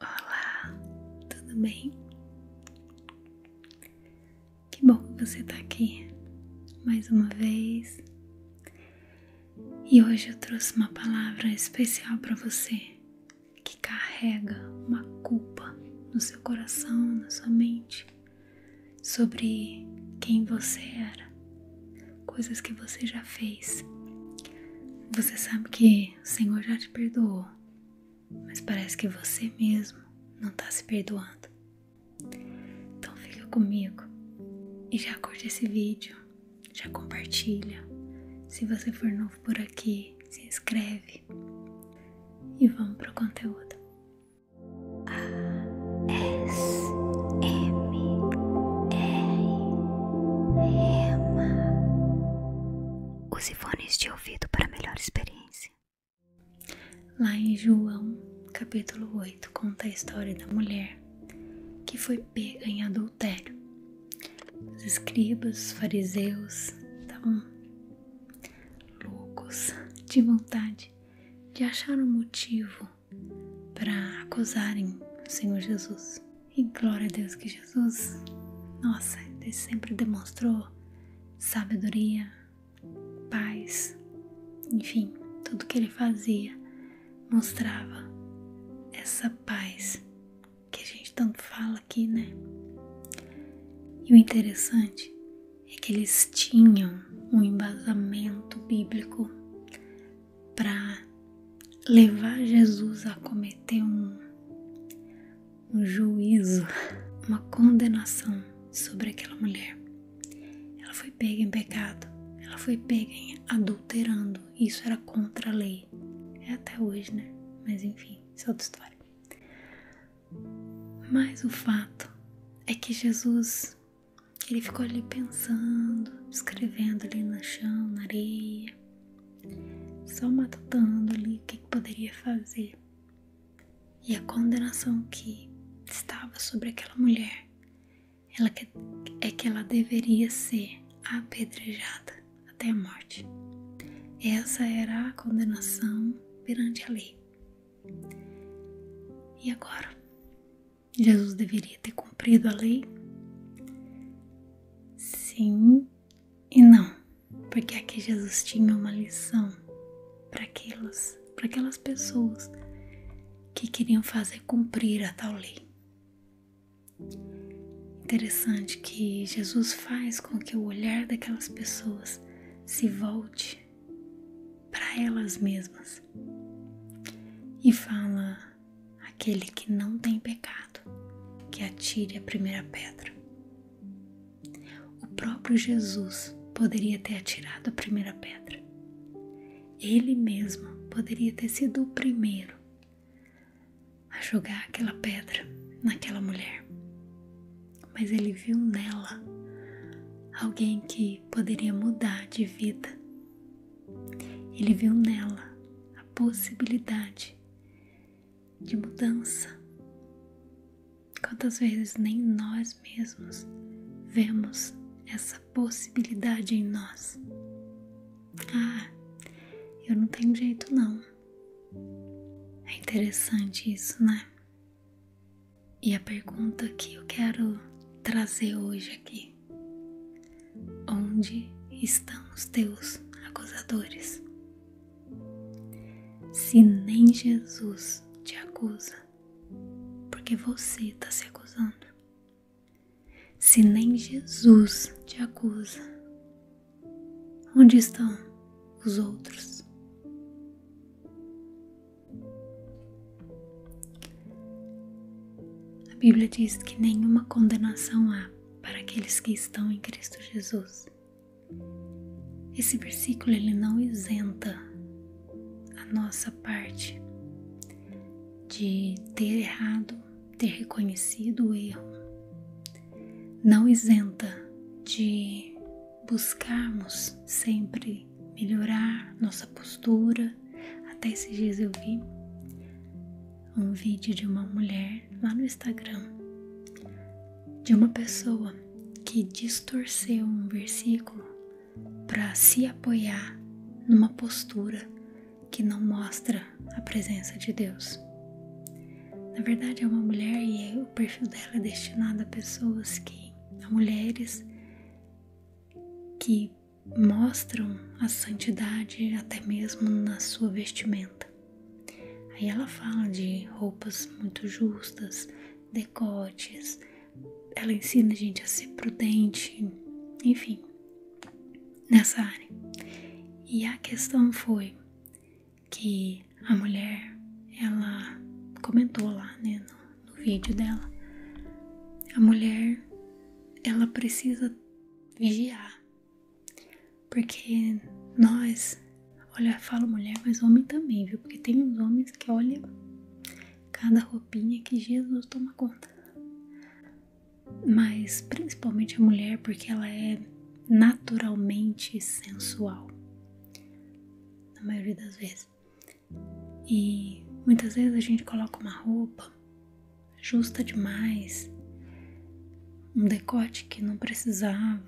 Olá, tudo bem? Que bom que você tá aqui mais uma vez. E hoje eu trouxe uma palavra especial para você que carrega uma culpa no seu coração, na sua mente, sobre quem você era, coisas que você já fez. Você sabe que o Senhor já te perdoou, mas parece que você mesmo não está se perdoando. Então fica comigo e já curte esse vídeo, já compartilha. Se você for novo por aqui, se inscreve e vamos pro conteúdo. A S M R Rema os fones de ouvido para melhor experiência. Lá em João, capítulo 8, conta a história da mulher que foi pega em adultério. Os escribas, fariseus estavam loucos de vontade de achar um motivo para acusarem o Senhor Jesus. E glória a Deus que Jesus, nossa, ele sempre demonstrou sabedoria, paz, enfim, tudo que ele fazia mostrava essa paz que a gente tanto fala aqui, né? E o interessante é que eles tinham um embasamento bíblico para levar Jesus a cometer um, juízo, uma condenação sobre aquela mulher. Ela foi pega em pecado, ela foi pega em adulterando, isso era contra a lei. É até hoje, né? Mas enfim, isso é outra história. Mas o fato é que Jesus, ele ficou ali pensando, escrevendo ali no chão, na areia só matando ali o que, poderia fazer. E a condenação que estava sobre aquela mulher ela é que ela deveria ser apedrejada até a morte. Essa era a condenação perante a lei. E agora? Jesus deveria ter cumprido a lei? Sim, e não, porque aqui Jesus tinha uma lição para aqueles, para aquelas pessoas que queriam fazer cumprir a tal lei. Interessante que Jesus faz com que o olhar daquelas pessoas se volte para elas mesmas e fala: aquele que não tem pecado, que atire a primeira pedra. O próprio Jesus poderia ter atirado a primeira pedra. Ele mesmo poderia ter sido o primeiro a jogar aquela pedra naquela mulher. Mas ele viu nela alguém que poderia mudar de vida. Ele viu nela a possibilidade de mudança. Quantas vezes nem nós mesmos vemos essa possibilidade em nós? Ah, eu não tenho jeito não. É interessante isso, né? E a pergunta que eu quero trazer hoje aqui: Onde estão os teus acusadores? Se nem Jesus te acusa, porque você está se acusando. Se nem Jesus te acusa, onde estão os outros? A Bíblia diz que nenhuma condenação há para aqueles que estão em Cristo Jesus. Esse versículo ele não isenta a nossa parte de ter errado, ter reconhecido o erro. Não isenta de buscarmos sempre melhorar nossa postura. Até esses dias eu vi um vídeo de uma mulher lá no Instagram, de uma pessoa que distorceu um versículo para se apoiar numa postura que não mostra a presença de Deus. Na verdade, é uma mulher e o perfil dela é destinado a pessoas que, a mulheres que mostram a santidade até mesmo na sua vestimenta. Aí ela fala de roupas muito justas, decotes, ela ensina a gente a ser prudente, enfim, nessa área. E a questão foi que a mulher, ela comentou lá né, no, vídeo dela, a mulher ela precisa vigiar porque nós, olha, falo mulher, mas homem também, viu? Porque tem uns homens que olham cada roupinha que Jesus toma conta. Mas principalmente a mulher, porque ela é naturalmente sensual. Na maioria das vezes. E muitas vezes a gente coloca uma roupa justa demais, um decote que não precisava,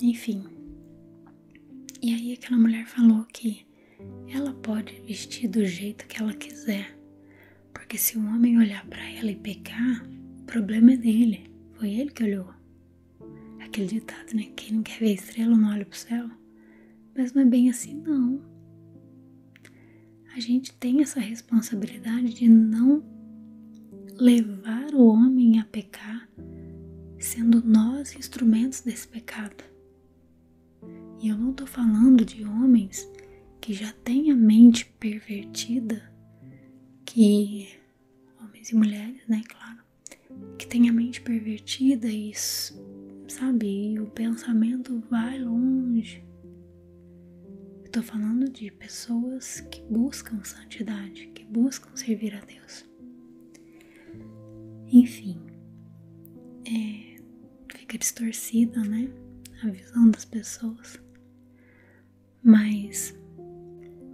enfim. E aí aquela mulher falou que ela pode vestir do jeito que ela quiser, porque se o homem olhar para ela e pecar, o problema é dele, foi ele que olhou. Aquele ditado, né? Quem não quer ver estrela não olha pro céu. Mas não é bem assim, não. A gente tem essa responsabilidade de não levar o homem a pecar, sendo nós instrumentos desse pecado. E eu não estou falando de homens que já têm a mente pervertida, que homens e mulheres, né, claro, que têm a mente pervertida e sabe, e o pensamento vai longe eu tô falando de pessoas que buscam santidade, que buscam servir a Deus. Enfim, é, fica distorcida, né? A visão das pessoas. Mas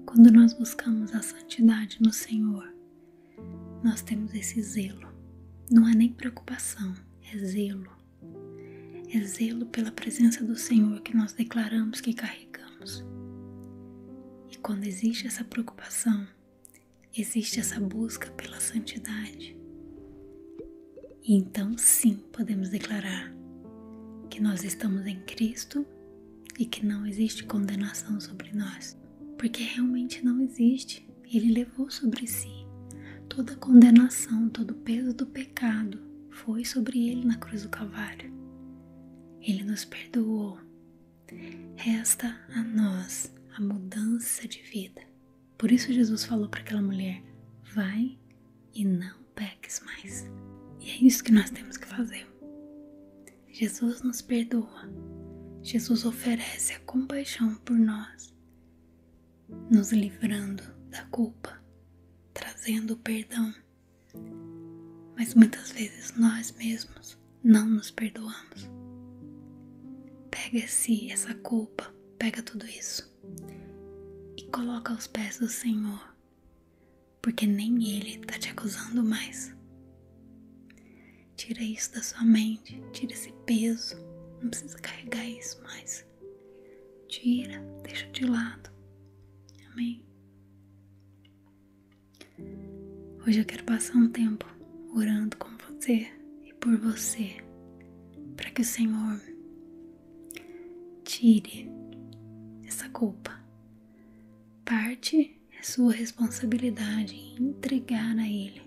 quando nós buscamos a santidade no Senhor, nós temos esse zelo. Não é nem preocupação, é zelo. É zelo pela presença do Senhor que nós declaramos que carregamos e quando existe essa preocupação, existe essa busca pela santidade. então sim podemos declarar que nós estamos em Cristo e que não existe condenação sobre nós, porque realmente não existe. Ele levou sobre si toda a condenação, todo o peso do pecado foi sobre ele na cruz do Calvário. Ele nos perdoou. Resta a nós a mudança de vida. Por isso Jesus falou para aquela mulher: vai e não peques mais. E é isso que nós temos que fazer. Jesus nos perdoa. Jesus oferece a compaixão por nós, nos livrando da culpa, trazendo o perdão. Mas muitas vezes nós mesmos não nos perdoamos. Pega-se essa culpa, pega tudo isso e coloca aos pés do Senhor, porque nem Ele está te acusando mais. Tira isso da sua mente, tira esse peso, não precisa carregar isso mais. Tira, deixa de lado. Amém? Hoje eu quero passar um tempo orando com você e por você, para que o Senhor tire essa culpa. Parte é sua responsabilidade em entregar a Ele,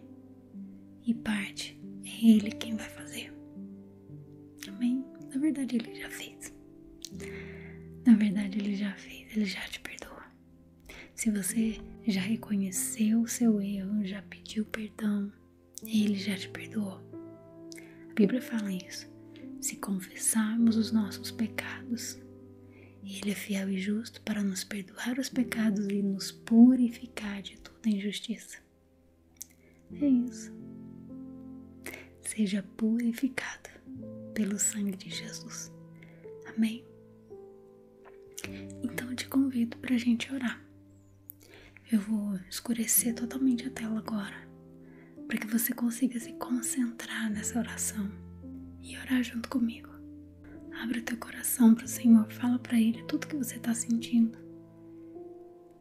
e parte é Ele quem vai fazer. Amém? Na verdade, ele já fez. Na verdade, ele já fez, ele já te perdoa. Se você já reconheceu o seu erro, já pediu perdão, ele já te perdoou. A Bíblia fala isso. Se confessarmos os nossos pecados, ele é fiel e justo para nos perdoar os pecados e nos purificar de toda injustiça. É isso. Seja purificado pelo sangue de Jesus. Amém? Então eu te convido para a gente orar. Eu vou escurecer totalmente a tela agora, para que você consiga se concentrar nessa oração e orar junto comigo. Abre teu coração para o Senhor, fala para Ele tudo que você está sentindo,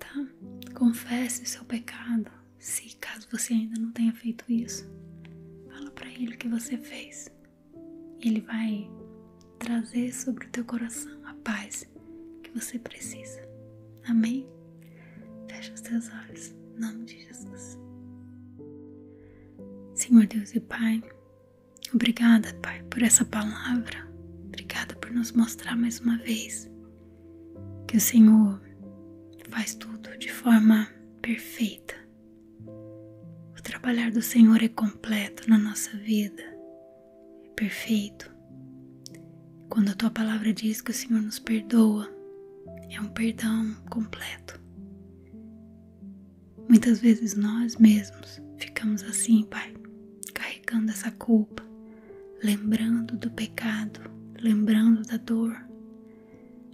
tá? Confesse o seu pecado, se caso você ainda não tenha feito isso, fala para ele o que você fez. Ele vai trazer sobre o teu coração a paz que você precisa. Amém? Fecha os teus olhos, em nome de Jesus. Senhor Deus e Pai, obrigada, Pai, por essa palavra. Obrigada por nos mostrar mais uma vez que o Senhor faz tudo de forma perfeita. O trabalhar do Senhor é completo na nossa vida, é perfeito. Quando a tua palavra diz que o Senhor nos perdoa, é um perdão completo. Muitas vezes nós mesmos ficamos assim, Pai, carregando essa culpa, lembrando do pecado, lembrando da dor,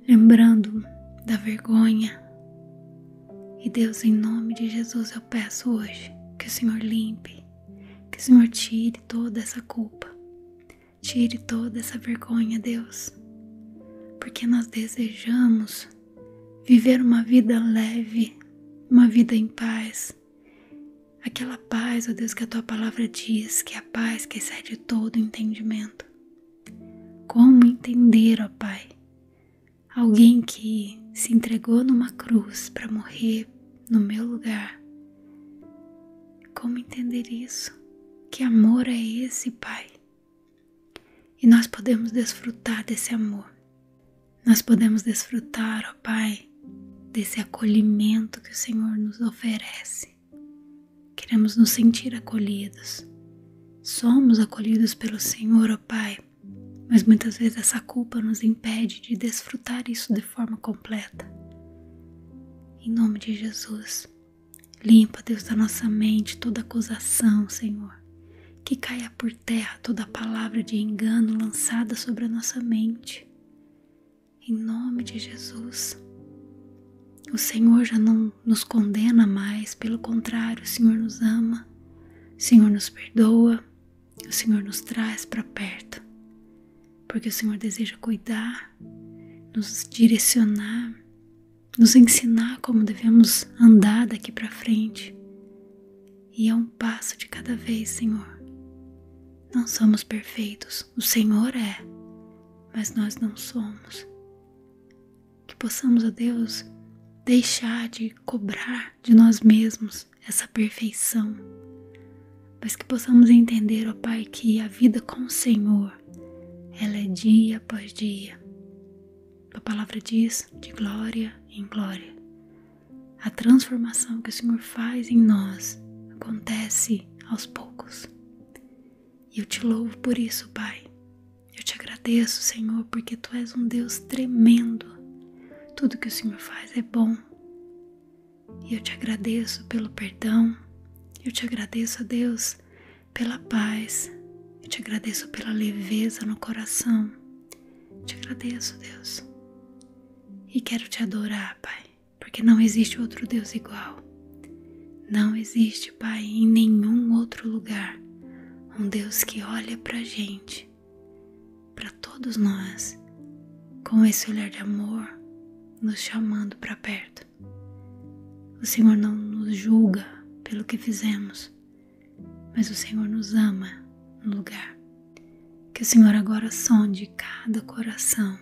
lembrando da vergonha. E Deus, em nome de Jesus, eu peço hoje que o Senhor limpe, que o Senhor tire toda essa culpa, tire toda essa vergonha, Deus, porque nós desejamos viver uma vida leve, uma vida em paz Aquela paz, ó Deus, que a tua palavra diz, que é a paz que excede todo entendimento. Como entender, ó Pai, alguém que se entregou numa cruz para morrer no meu lugar? Como entender isso? Que amor é esse, Pai? E nós podemos desfrutar desse amor. Nós podemos desfrutar, ó Pai, desse acolhimento que o Senhor nos oferece Queremos nos sentir acolhidos. Somos acolhidos pelo Senhor, ó Pai, mas muitas vezes essa culpa nos impede de desfrutar isso de forma completa. Em nome de Jesus, limpa, Deus, da nossa mente toda acusação, Senhor. Que caia por terra toda palavra de engano lançada sobre a nossa mente em nome de Jesus. O Senhor já não nos condena mais, pelo contrário, o Senhor nos ama, o Senhor nos perdoa, o Senhor nos traz para perto, porque o Senhor deseja cuidar, nos direcionar, nos ensinar como devemos andar daqui para frente. E é um passo de cada vez, Senhor. Não somos perfeitos, o Senhor é, mas nós não somos. Que possamos, ó Deus, deixar de cobrar de nós mesmos essa perfeição, mas que possamos entender, ó Pai, que a vida com o Senhor, ela é dia após dia. A palavra diz de glória em glória. A transformação que o Senhor faz em nós acontece aos poucos. E eu te louvo por isso, Pai. Eu te agradeço, Senhor, porque tu és um Deus tremendo. Tudo que o Senhor faz é bom. E eu te agradeço pelo perdão. Eu te agradeço, Deus, pela paz. Eu te agradeço pela leveza no coração. te agradeço, Deus. E quero te adorar, Pai porque não existe outro Deus igual. Não existe, Pai, em nenhum outro lugar um Deus que olha para gente, para todos nós, com esse olhar de amor, nos chamando para perto. O Senhor não nos julga pelo que fizemos, mas o Senhor nos ama no lugar. Que o Senhor agora sonde cada coração,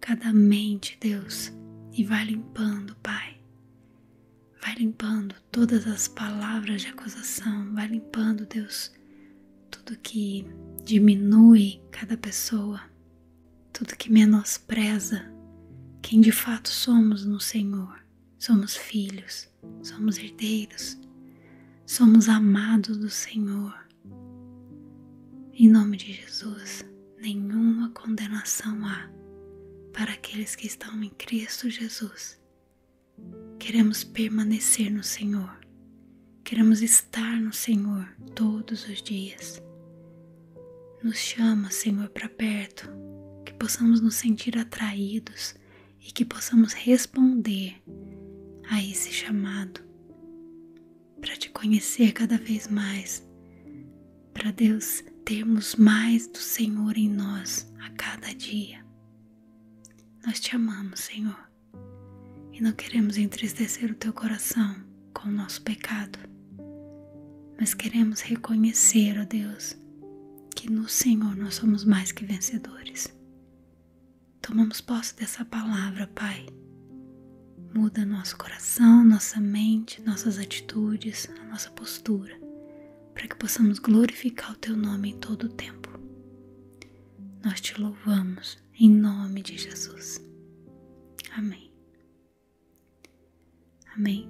cada mente, Deus, e vai limpando, Pai. Vai limpando todas as palavras de acusação, vai limpando, Deus, tudo que diminui cada pessoa, tudo que menospreza quem de fato somos no Senhor. Somos filhos, somos herdeiros, somos amados do Senhor. Em nome de Jesus, nenhuma condenação há para aqueles que estão em Cristo Jesus. Queremos permanecer no Senhor, queremos estar no Senhor todos os dias. Nos chama, Senhor, para perto, que possamos nos sentir atraídos e que possamos responder a esse chamado para te conhecer cada vez mais, para Deus termos mais do Senhor em nós a cada dia. Nós te amamos, Senhor, e não queremos entristecer o teu coração com o nosso pecado, mas queremos reconhecer, ó Deus, que no Senhor nós somos mais que vencedores. Tomamos posse dessa palavra, Pai, muda nosso coração, nossa mente, nossas atitudes, a nossa postura, para que possamos glorificar o Teu nome em todo o tempo. Nós te louvamos em nome de Jesus. Amém. Amém.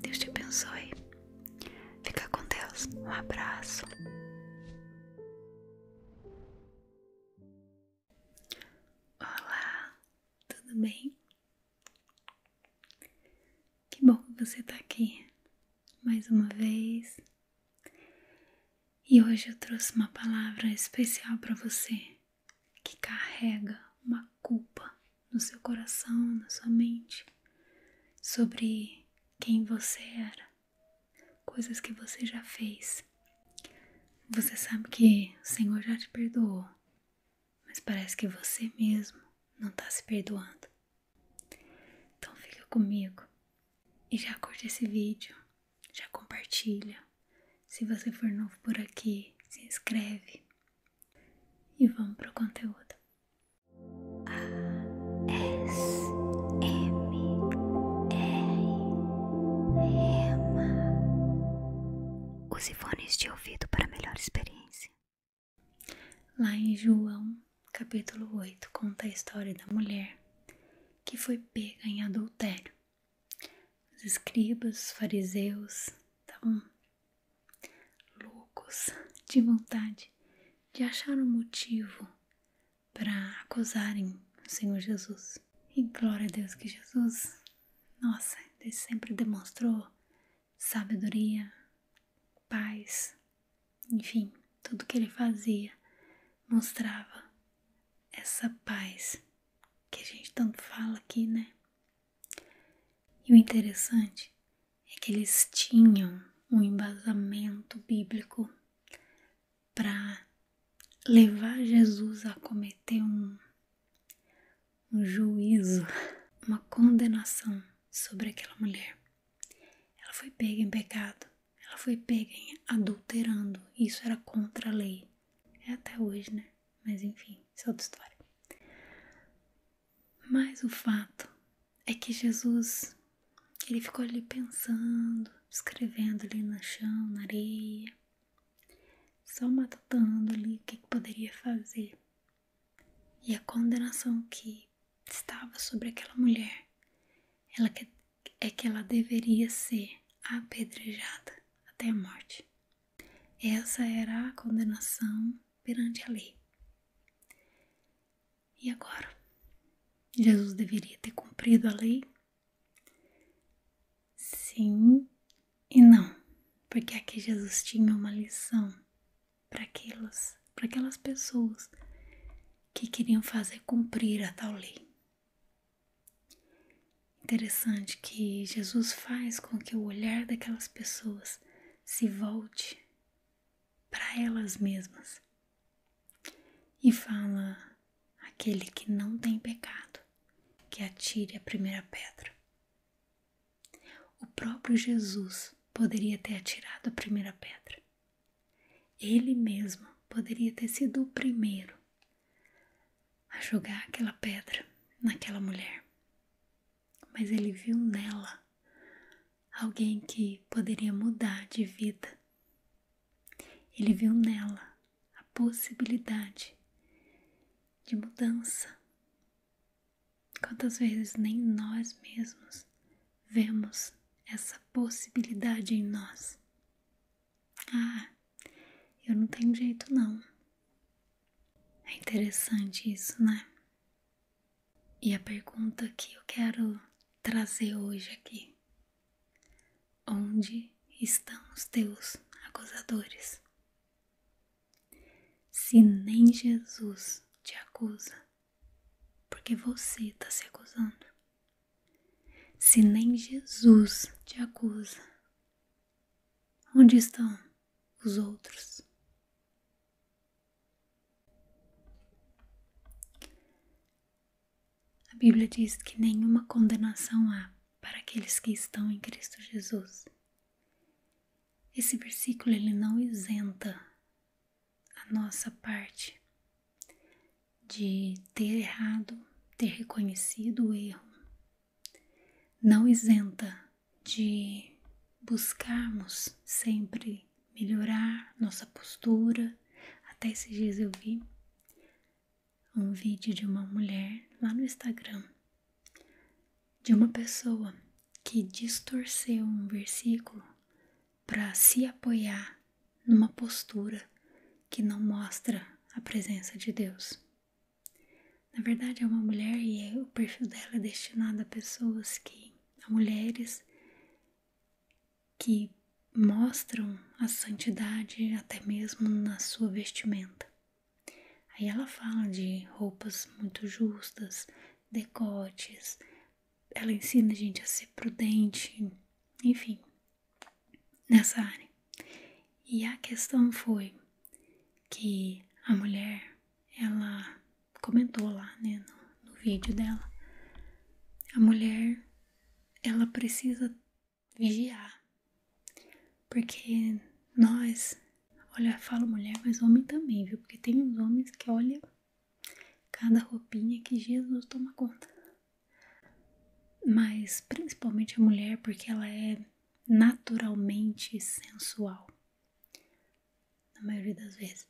Deus te abençoe. Fica com Deus. Um abraço. Olá, tudo bem? Que bom que você tá aqui mais uma vez. E hoje eu trouxe uma palavra especial para você que carrega uma culpa no seu coração, na sua mente, sobre quem você era, coisas que você já fez você sabe que o Senhor já te perdoou, mas parece que você mesmo não está se perdoando. Então fica comigo e já curte esse vídeo, já compartilha. Se você for novo por aqui, se inscreve e vamos pro conteúdo. A S M R Rema os fones de ouvido para melhor experiência. Lá em João, capítulo 8, conta a história da mulher que foi pega em adultério. Os escribas, fariseus, estavam loucos de vontade de achar um motivo para acusarem o Senhor Jesus. E glória a Deus que Jesus, nossa, ele sempre demonstrou sabedoria, paz, enfim, tudo que ele fazia mostrava essa paz que a gente tanto fala aqui, né? E o interessante é que eles tinham um embasamento bíblico para levar Jesus a cometer um, juízo, uma condenação sobre aquela mulher. Ela foi pega em pecado, ela foi pega em adulterando, isso era contra a lei. É até hoje, né? Mas enfim, isso é outra história. Mas o fato é que Jesus, ele ficou ali pensando, escrevendo ali no chão, na areia, só matutando ali o que, poderia fazer. E a condenação que estava sobre aquela mulher ela é que ela deveria ser apedrejada até a morte. Essa era a condenação perante a lei. E agora? Jesus deveria ter cumprido a lei Sim e não, porque aqui Jesus tinha uma lição para aquelas, para aquelas pessoas que queriam fazer cumprir a tal lei. Interessante que Jesus faz com que o olhar daquelas pessoas se volte para elas mesmas e fala: aquele que não tem pecado, que atire a primeira pedra. O próprio Jesus poderia ter atirado a primeira pedra. Ele mesmo poderia ter sido o primeiro a jogar aquela pedra naquela mulher. Mas ele viu nela alguém que poderia mudar de vida. Ele viu nela a possibilidade de mudança. Quantas vezes nem nós mesmos vemos essa possibilidade em nós? Ah, eu não tenho jeito não. É interessante isso, né? E a pergunta que eu quero trazer hoje aqui: onde estão os teus acusadores? Se nem Jesus te acusa, porque você está se acusando. Se nem Jesus te acusa, onde estão os outros? A Bíblia diz que nenhuma condenação há para aqueles que estão em Cristo Jesus. Esse versículo ele não isenta a nossa parte de ter errado, ter reconhecido o erro. Não isenta de buscarmos sempre melhorar nossa postura. Até esses dias eu vi um vídeo de uma mulher lá no Instagram, de uma pessoa que distorceu um versículo para se apoiar numa postura que não mostra a presença de Deus. Na verdade, é uma mulher e é, o perfil dela é destinado a pessoas que, a mulheres que mostram a santidade até mesmo na sua vestimenta. Aí ela fala de roupas muito justas, decotes, ela ensina a gente a ser prudente, enfim, nessa área. E a questão foi que a mulher, ela comentou lá, né, no, vídeo dela, a mulher, ela precisa vigiar. Porque nós, olha, falo mulher, mas homem também, viu? Porque tem uns homens que olham cada roupinha que Jesus toma conta. Mas principalmente a mulher, porque ela é naturalmente sensual. Na maioria das vezes.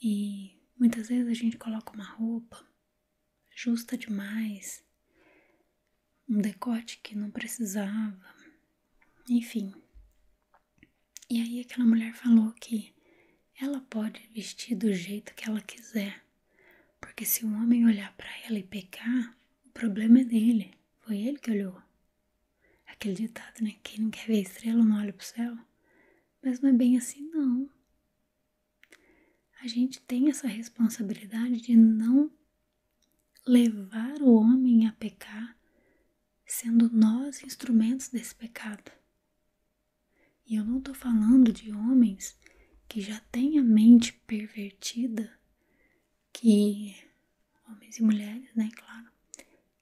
E muitas vezes a gente coloca uma roupa justa demais, um decote que não precisava, enfim. E aí aquela mulher falou que ela pode vestir do jeito que ela quiser, porque se o um homem olhar para ela e pecar, o problema é dele, foi ele que olhou. Aquele ditado, né? Quem não quer ver estrela não olha pro céu. Mas não é bem assim, não. A gente tem essa responsabilidade de não levar o homem a pecar, sendo nós instrumentos desse pecado. E eu não estou falando de homens que já têm a mente pervertida, que homens e mulheres, né, claro,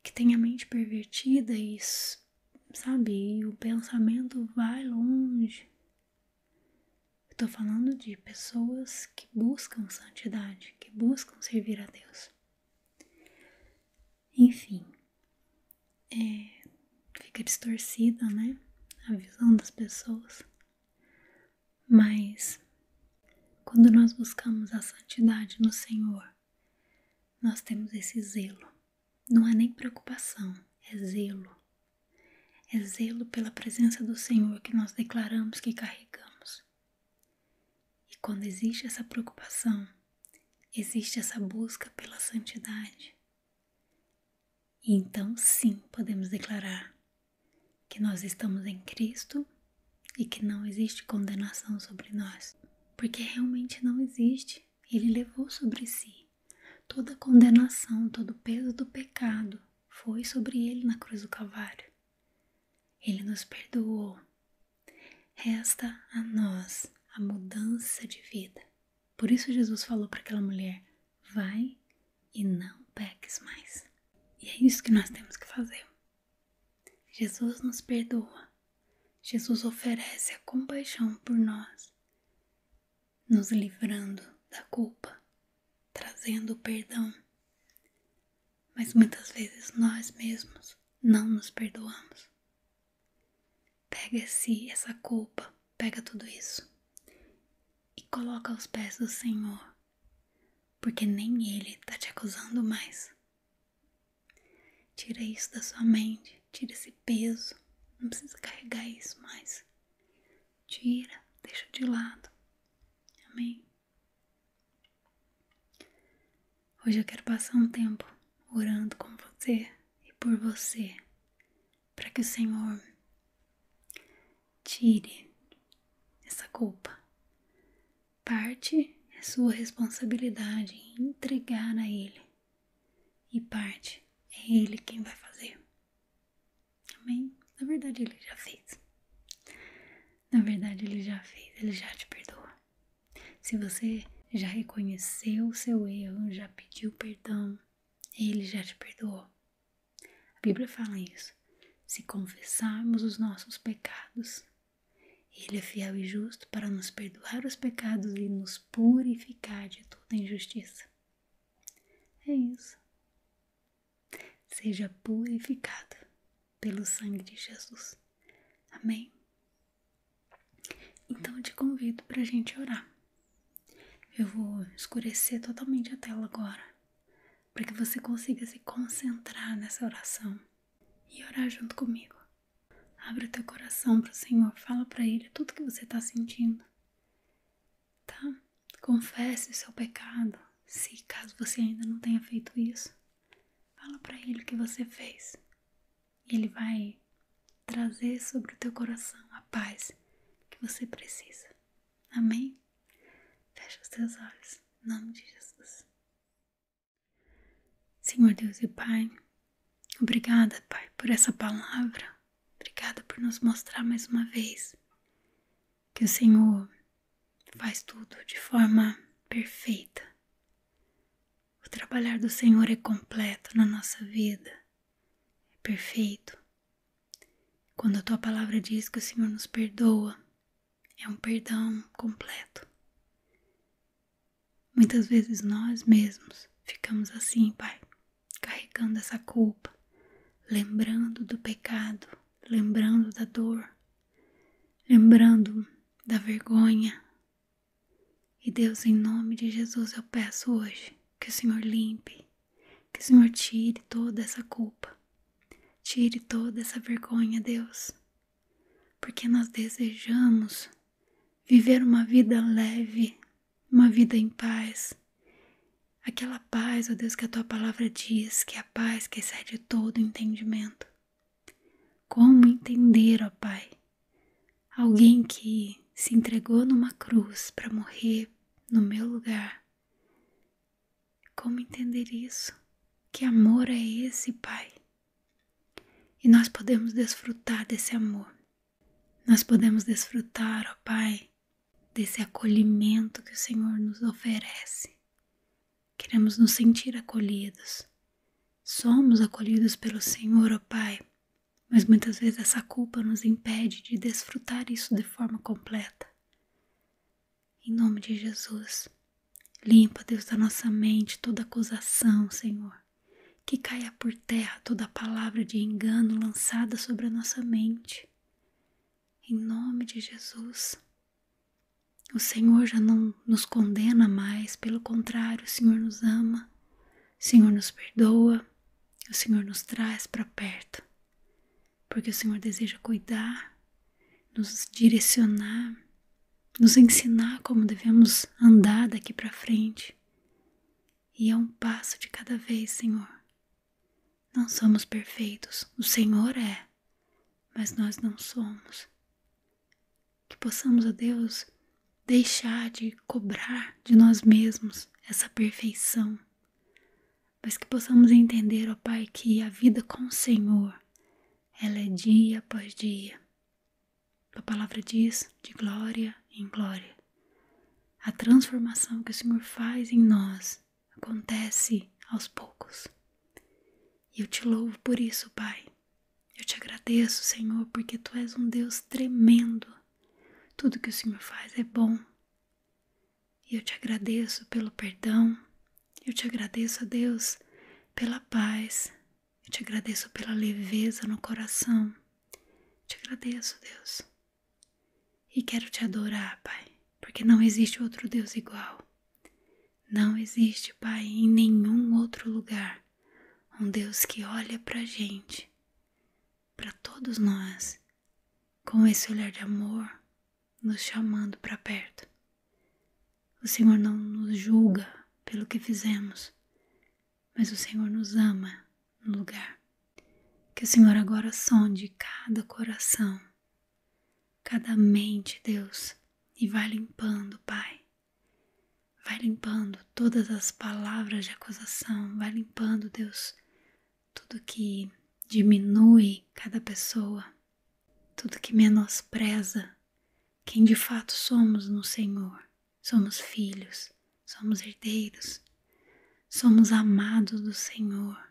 que têm a mente pervertida e sabe, e o pensamento vai longe, Estou falando de pessoas que buscam santidade, que buscam servir a Deus. Enfim, é, fica distorcida, né? A visão das pessoas. Mas quando nós buscamos a santidade no Senhor, nós temos esse zelo. Não é nem preocupação, é zelo é zelo pela presença do Senhor que nós declaramos que carregamos. E quando existe essa preocupação, existe essa busca pela santidade. E então sim podemos declarar que nós estamos em Cristo e que não existe condenação sobre nós, porque realmente não existe. Ele levou sobre si toda a condenação, todo o peso do pecado foi sobre ele na cruz do Calvário. Ele nos perdoou. Resta a nós a mudança de vida. Por isso Jesus falou para aquela mulher: vai e não peques mais. E é isso que nós temos que fazer. Jesus nos perdoa. Jesus oferece a compaixão por nós, nos livrando da culpa, trazendo perdão. Mas muitas vezes nós mesmos não nos perdoamos. Pega se essa culpa, pega tudo isso e coloca aos pés do Senhor, porque nem Ele está te acusando mais. Tira isso da sua mente, tira esse peso, não precisa carregar isso mais. Tira, deixa de lado. Amém. Hoje eu quero passar um tempo orando com você e por você, para que o Senhor tire essa culpa. Parte é sua responsabilidade em entregar a Ele, e parte é Ele quem vai fazer. Amém? Na verdade, ele já fez. Na verdade, ele já fez, ele já te perdoa. Se você já reconheceu o seu erro, já pediu perdão, ele já te perdoou. A Bíblia fala isso. Se confessarmos os nossos pecados, ele é fiel e justo para nos perdoar os pecados e nos purificar de toda injustiça. É isso seja purificada pelo sangue de Jesus. Amém? Então eu te convido para a gente orar. Eu vou escurecer totalmente a tela agora, para que você consiga se concentrar nessa oração e orar junto comigo. Abre teu coração para o Senhor, fala para Ele tudo que você está sentindo, tá? confesse o seu pecado, se caso você ainda não tenha feito isso. Fala para ele o que você fez. Ele vai trazer sobre o teu coração a paz que você precisa. Amém? Fecha os teus olhos, em nome de Jesus. Senhor Deus e Pai, obrigada, Pai, por essa palavra. Obrigada por nos mostrar mais uma vez que o Senhor faz tudo de forma perfeita. O trabalhar do Senhor é completo na nossa vida, é perfeito. Quando a tua palavra diz que o Senhor nos perdoa, é um perdão completo. Muitas vezes nós mesmos ficamos assim, Pai, carregando essa culpa, lembrando do pecado lembrando da dor, lembrando da vergonha. E Deus, em nome de Jesus, eu peço hoje que o Senhor limpe, que o Senhor tire toda essa culpa, tire toda essa vergonha, Deus, porque nós desejamos viver uma vida leve, uma vida em paz Aquela paz, ó Deus, que a tua palavra diz, que é a paz que excede todo entendimento. Como entender, ó Pai, alguém que se entregou numa cruz para morrer no meu lugar? Como entender isso? Que amor é esse, Pai? E nós podemos desfrutar desse amor. Nós podemos desfrutar, ó Pai, desse acolhimento que o Senhor nos oferece Queremos nos sentir acolhidos. Somos acolhidos pelo Senhor, ó Pai, mas muitas vezes essa culpa nos impede de desfrutar isso de forma completa. Em nome de Jesus, limpa, Deus, da nossa mente toda acusação, Senhor. Que caia por terra toda palavra de engano lançada sobre a nossa mente. Em nome de Jesus. O Senhor já não nos condena mais, pelo contrário, o Senhor nos ama, o Senhor nos perdoa, o Senhor nos traz para perto, porque o Senhor deseja cuidar, nos direcionar, nos ensinar como devemos andar daqui para frente. E é um passo de cada vez, Senhor. Não somos perfeitos, o Senhor é, mas nós não somos. Que possamos, ó Deus, deixar de cobrar de nós mesmos essa perfeição, mas que possamos entender, ó Pai, que a vida com o Senhor, ela é dia após dia. A palavra diz de glória em glória. A transformação que o Senhor faz em nós acontece aos poucos. E eu te louvo por isso, Pai. Eu te agradeço, Senhor, porque tu és um Deus tremendo. Tudo que o Senhor faz é bom. E eu te agradeço pelo perdão. Eu te agradeço, Deus, pela paz. Eu te agradeço pela leveza no coração. te agradeço, Deus. E quero te adorar, Pai, porque não existe outro Deus igual. Não existe Pai em nenhum outro lugar um Deus que olha pra gente, para todos nós, com esse olhar de amor, nos chamando para perto. O Senhor não nos julga pelo que fizemos, mas o Senhor nos ama no lugar. Que o Senhor agora sonde cada coração cada mente, Deus, e vai limpando, Pai. Vai limpando todas as palavras de acusação, vai limpando, Deus, tudo que diminui cada pessoa, tudo que menospreza quem de fato somos no Senhor. Somos filhos, somos herdeiros, somos amados do Senhor,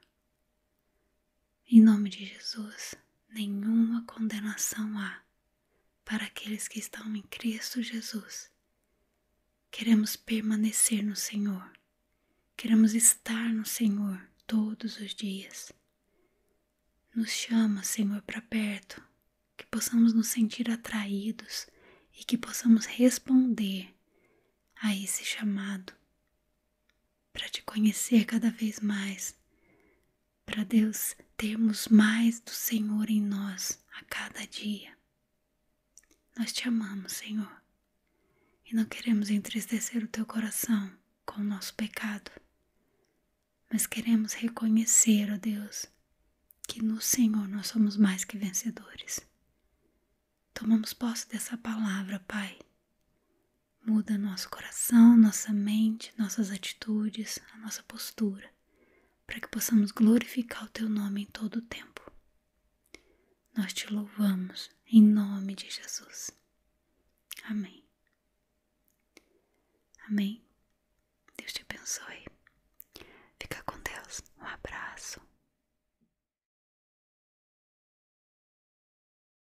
em nome de Jesus, nenhuma condenação há para aqueles que estão em Cristo Jesus. Queremos permanecer no Senhor, queremos estar no Senhor todos os dias. Nos chama, Senhor, para perto, que possamos nos sentir atraídos e que possamos responder a esse chamado para te conhecer cada vez mais, para Deus termos mais do Senhor em nós a cada dia. Nós te amamos, Senhor, e não queremos entristecer o teu coração com o nosso pecado, mas queremos reconhecer, ó Deus, que no Senhor nós somos mais que vencedores. Tomamos posse dessa palavra, Pai, muda nosso coração, nossa mente, nossas atitudes, a nossa postura, para que possamos glorificar o Teu nome em todo o tempo. Nós te louvamos em nome de Jesus. Amém. Amém. Deus te abençoe. Fica com Deus. Um abraço.